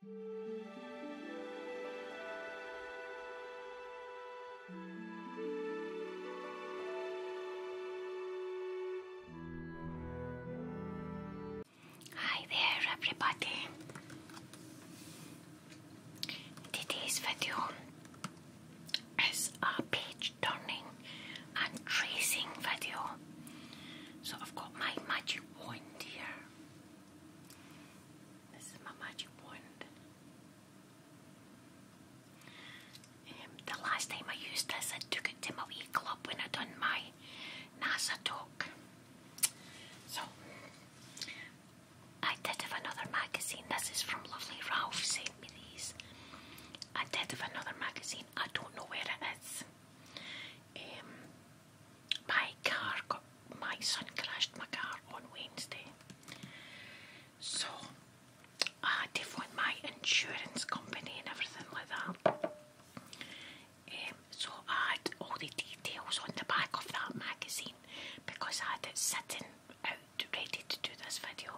Hi there, everybody. Today's video is a page turning and tracing video. So I've got my magic wand here this is my magic wand. Um, the last time I used this, I took it to my wee club when I done my NASA talk. So, I did have another magazine. This is from Lovely Ralph, sent me these. I did have another magazine. I don't know where it is. Um, my car got my son crashed my car on Wednesday. So I had to phone my insurance company and everything like that. Um, so I had all the details on the back of that magazine because I had it sitting out ready to do this video.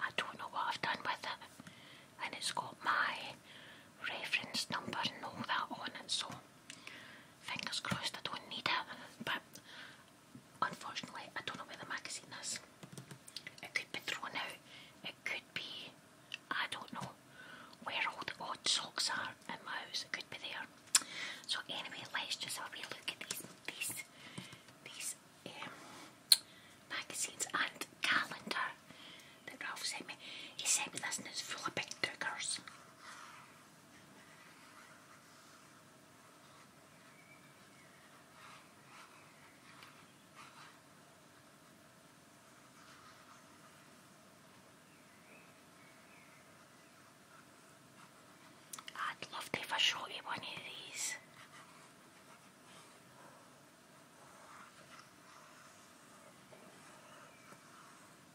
I don't know what I've done with it and it's got my reference number and all that on it so Fingers crossed I don't need it, but unfortunately I don't know where the magazine is. It could be thrown out, it could be, I don't know, where all the odd socks are in my house, it could be there. So anyway, let's just have a look at these, these, these um, magazines and calendar that Ralph sent me. He sent me this and it's full of big bookers. I'd love to have a one of these.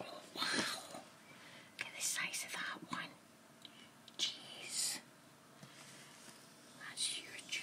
wow. Look at the size of that one. Jeez. That's huge.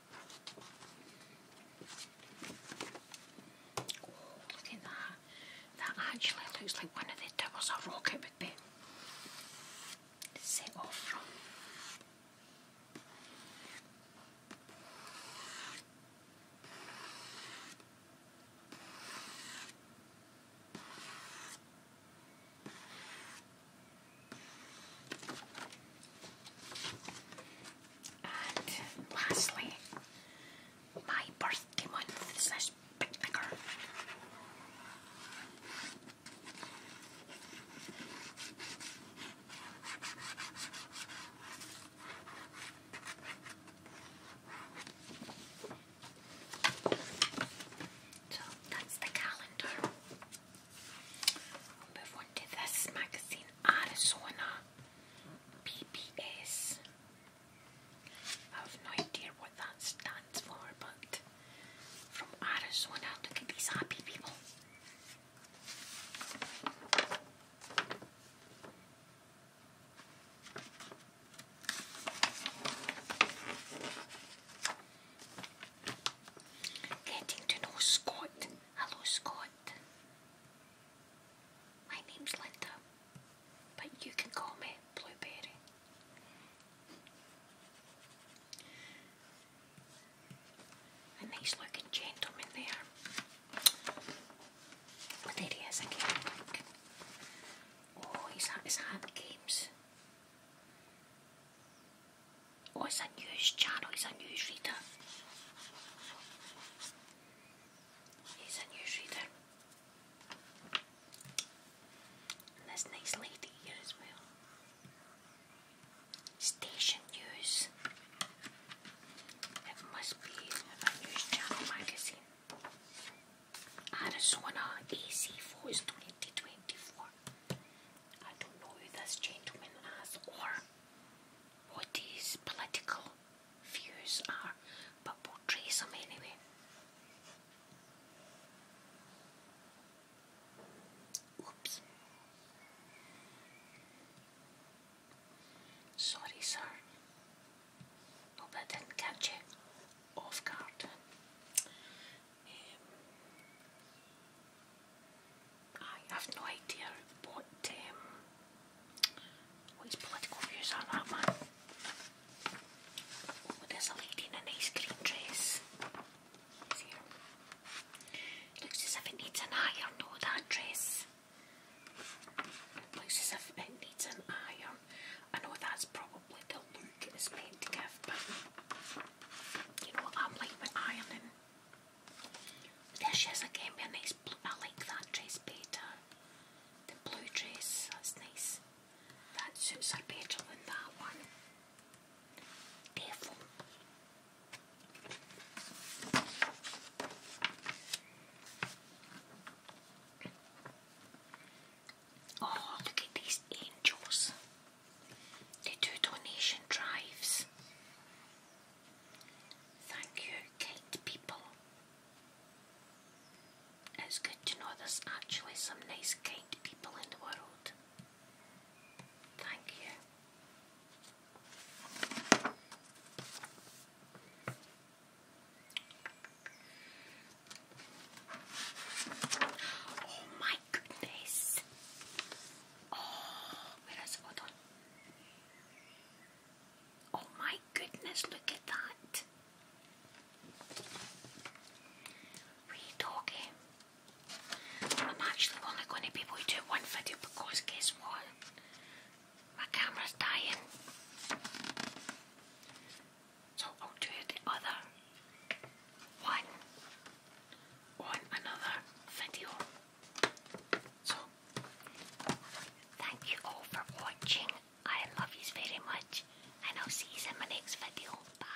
look at that. That actually looks like one of the towers a rocket would be set off and lastly, my birthday month is picnicker. So that's the calendar i will move on to this magazine, Arizona PPS. I have no idea what that stands for, but from Arizona, look at these happy people. Getting to know Scott Hello, Scott. My name's Linda, but you can call me Blueberry. A nice looking gentleman there. there he is again. Oh, he's at games or oh, it's a news channel, he's a newsreader. He's a newsreader. And this nice lady here as well. Station News. It must be a news channel magazine. Arizona AC for 2024. I don't know who this gentleman is or what his political views are, but we'll trace him anyway. Oops. Sorry, sir. Hope I didn't catch you off guard. Um, I have no idea what um, what his political views are that man. Oh, there's a lady in a nice green dress. Looks as if it needs an iron though, that dress. Looks as if it needs an iron. Um, I know that's probably the look it's meant to give, but you know, I'm like with ironing. There she is again with a nice blue. I like that dress better. The blue dress, that's nice. That suits her better than that one. Devil. Oh, look at these angels. They do donation drives. Thank you, kind people. It's good to know there's actually some nice, kind people in the world. Thank you. Oh my goodness. Oh, wait, let hold on. Oh my goodness, look at that. Wee doggy. I'm actually only going to be able one video because guess what? My camera's dying. So I'll do the other one on another video. So, thank you all for watching. I love you very much, and I'll see you in my next video. Bye.